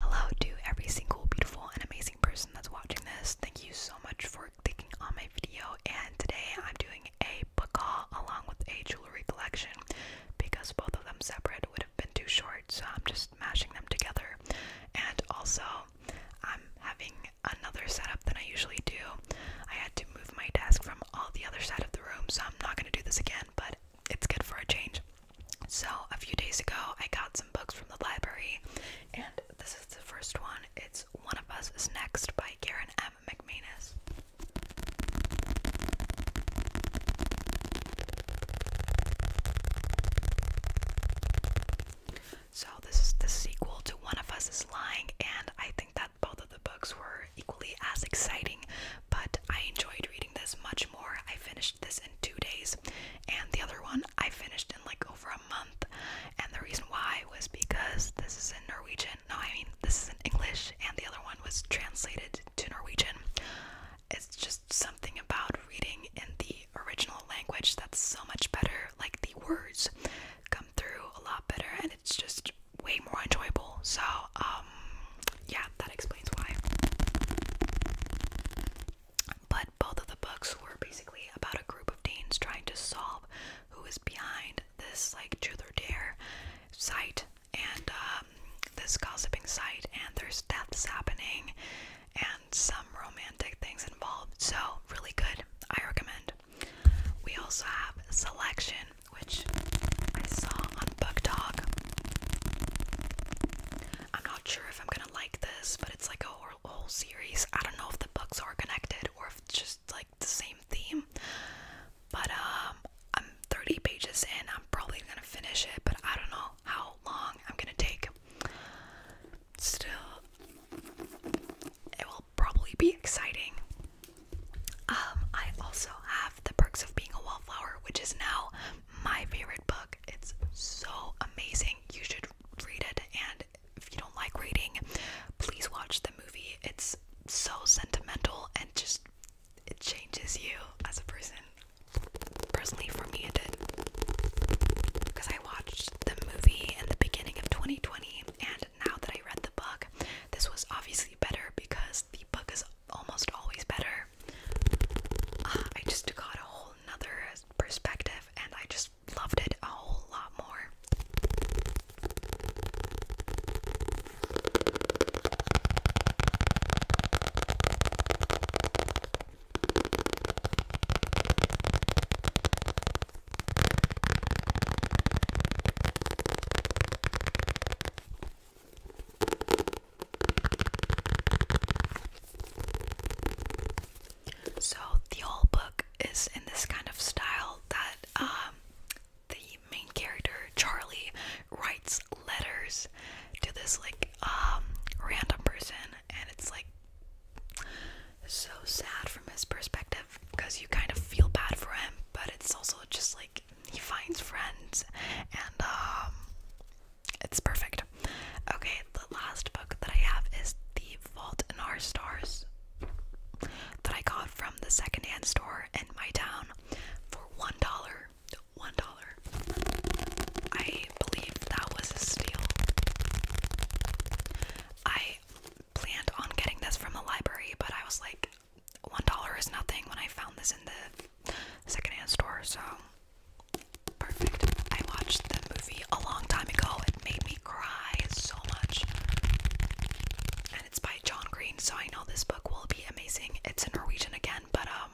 Hello to every single beautiful and amazing person that's watching this. Thank you so much for clicking on my video. And today I'm doing a book haul along with a jewelry collection because both of them separate would have been too short. So I'm just mashing them together. And also, I'm having another setup than I usually do. I had to move my desk from all the other side of the room, so I'm not going to do this again. But it's good for a change. So, a few days ago, I got some books from the library, and this is the first one. It's One of Us is Next by Karen M. McManus. So, this is the sequel to One of Us is Lying, and I think that both of the books were equally as exciting, but I enjoyed reading this much more. I finished this two days, and the other one I finished in like over a month. And the reason why was because this is in Norwegian. No, I mean this is in English, and the other one was translated to Norwegian. It's just something about reading in the original language that's so much better. Like the words come through a lot better, and it's just way more enjoyable. So, um, yeah, that explains why. But both of the books were basically about a group of teens trying to solve who is behind this like truth or dare site and um, this gossiping site, and there's deaths happening and some romantic things involved. So, really good. I recommend. We also have Selection, which I saw on Book Talk. I'm not sure if I'm gonna like this, but it's like a whole, whole series. I don't know if the books are connected or if it's just like the same theme. But um, I'm 30 pages in. I'm probably gonna finish it, but I don't know how long I'm gonna take. Still, it will probably be exciting. Um, I also have The Perks of Being a Wallflower, which is now my favorite book. It's so amazing. You should read it and if you don't like reading, please watch the movie. It's so sentimental and just it changes you as a person. Personally, for me, it did. Because I watched the movie in the beginning of 2020, and now that I read the book, this was obviously better because the book is almost always better. Uh, I just got a whole nother perspective and I just loved it a whole lot more. So the whole book is in this kind of style that um, the main character Charlie writes letters to this like um, random person, and it's like so sad from his perspective because you kind of feel bad for him, but it's also just like he finds friends and um, it's perfect. Okay, the last book that I have is The Vault in Our Stars that I got from the secondhand store in my town for one dollar. One dollar. I believe that was a steal. I planned on getting this from the library, but I was like, one dollar is nothing when I found this in the secondhand store, so perfect. I watched the movie a long time ago. It made me cry so much. And it's by John Green, so I know this book will be amazing. It's in Norwegian again, but um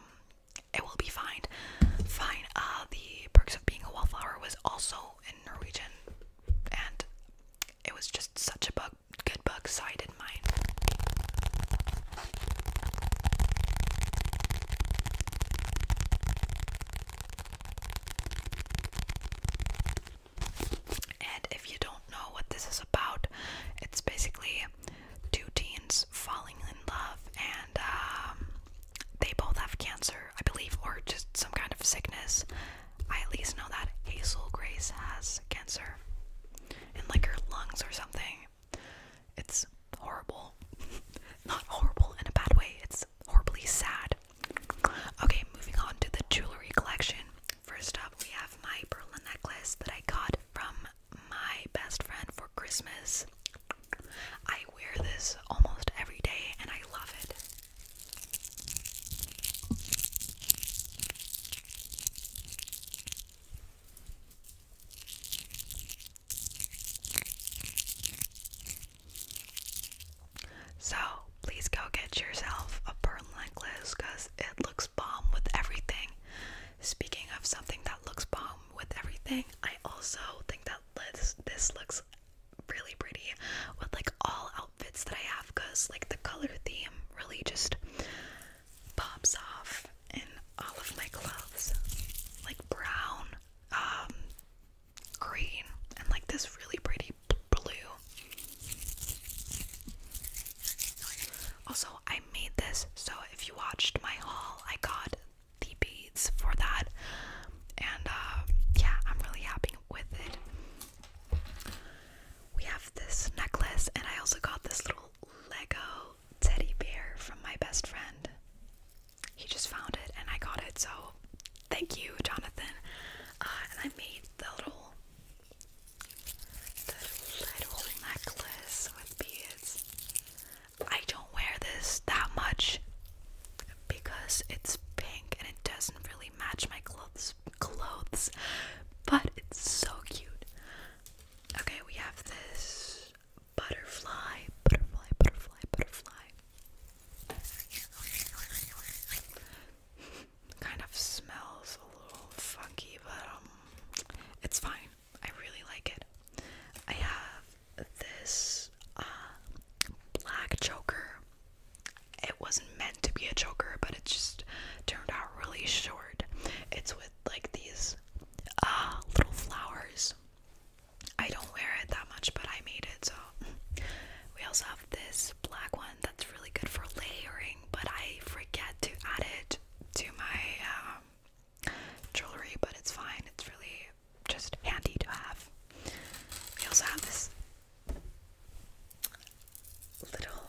it will be fine. Fine. Uh the perks of being a wallflower was also in Norwegian and it was just such a book, good book, so and if you don't know what this is about, it's basically two teens falling in love, and um, they both have cancer, I believe, or just some kind of sickness. I at least know that Hazel Grace has cancer in like her lungs or something. It's horrible. Not horrible in a bad way, it's horribly sad. Okay, moving on to the jewelry collection. First up, we have my Berlin necklace that I got from my best friend for Christmas. I wear this almost every day and I love it. So, please go get yourself a pearl necklace because it looks bomb with everything. Speaking of something that looks bomb with everything, I also think that this, this looks really pretty with like all outfits that I have because like the color theme really just pops off in all of my clothes like brown, um, green, and like this really pretty blue. Also, I made this so if you watched my haul, I got the beads for that, and uh, yeah, I'm really happy with it. We have this necklace, and I also got this little Lego teddy bear from my best friend. He just found it and I got it, so thank you, Jonathan. Uh, and I made the little, the little necklace with beads. I don't wear this that much because it's pink and it doesn't really match my clothes. Clothes, but it's so cute. Okay, we have this butterfly, butterfly, butterfly, butterfly. kind of smells a little funky, but um, it's fine. I really like it. I have this uh, black choker. It wasn't to be a choker, but it just turned out really short. It's with like these uh, little flowers. I don't wear it that much, but I made it so. We also have this black one that's really good for layering, but I forget to add it to my um, jewelry, but it's fine. It's really just handy to have. We also have this little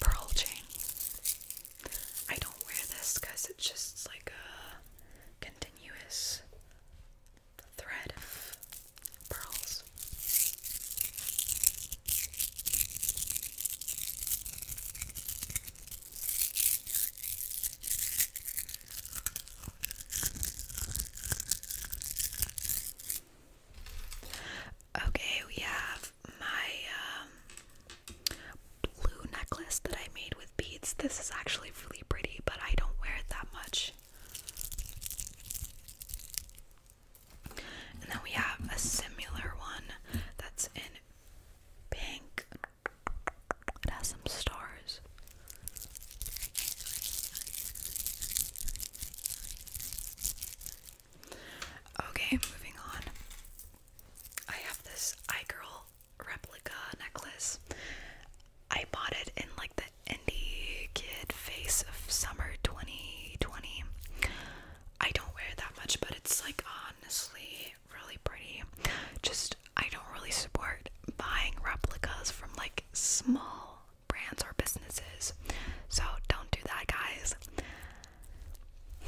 pearl chain. I don't wear this because it's just like a continuous thread of pearls. Okay, we have my um, blue necklace that I made with beads. This is actually really pretty, but I don't wear it that much. And then we have a similar one that's in pink. It has some stars. Okay, moving on. I have this iGirl replica necklace. I bought it in like the indie kid face of summer 2020. I don't wear that much, but it's like honestly really pretty. Just I don't really support buying replicas from like small brands or businesses. So don't do that, guys.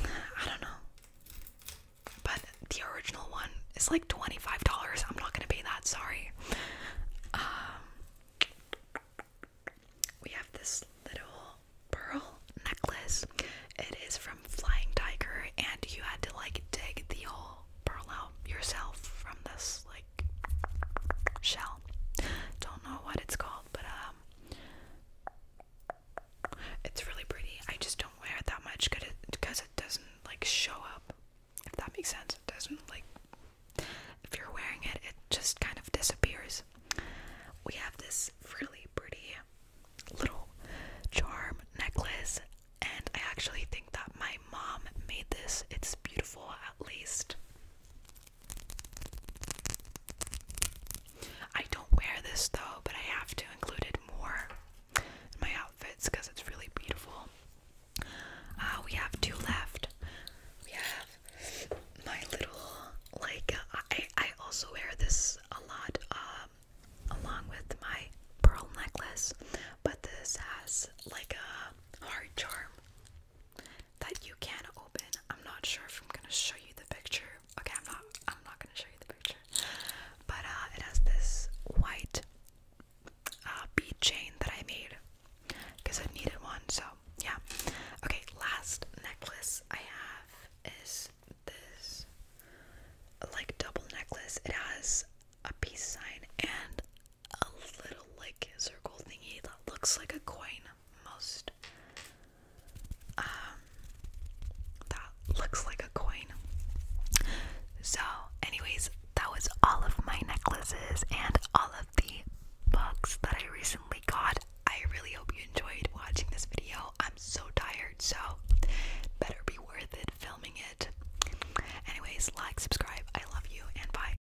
I don't know. But the original one is like $25. I'm not going to pay that, sorry. Um, we have this little pearl necklace. It is from Flying Tiger, and you had to like dig the whole pearl out yourself from this like shell. Don't know what it's called but um, it's really pretty. I just don't wear it that much because cause it doesn't like show up. If that makes sense, it doesn't like. If you're wearing it, it just kind of disappears. We have this really pretty little charm necklace, and I actually think that my mom made this. It's beautiful, at least. I don't wear this though, but I have to include it more in my outfits because it's really beautiful. Uh, we have two left. We have my little, like, uh, I, I also wear this a lot um, along with my pearl necklace, but this has like a heart charm that you can open. I'm not sure if I'm gonna show you the picture. Okay, I'm not I'm not gonna show you the picture. But uh it has this white uh bead chain that I made because I needed one, so yeah. Okay, last necklace I have is this like double necklace. It has a peace sign and a little like circle thingy that looks like a coin most um that looks like a coin so anyways that was all of my necklaces and all of the books that I recently got I really hope you enjoyed watching this video I'm so tired so better be worth it filming it anyways like subscribe I love you and bye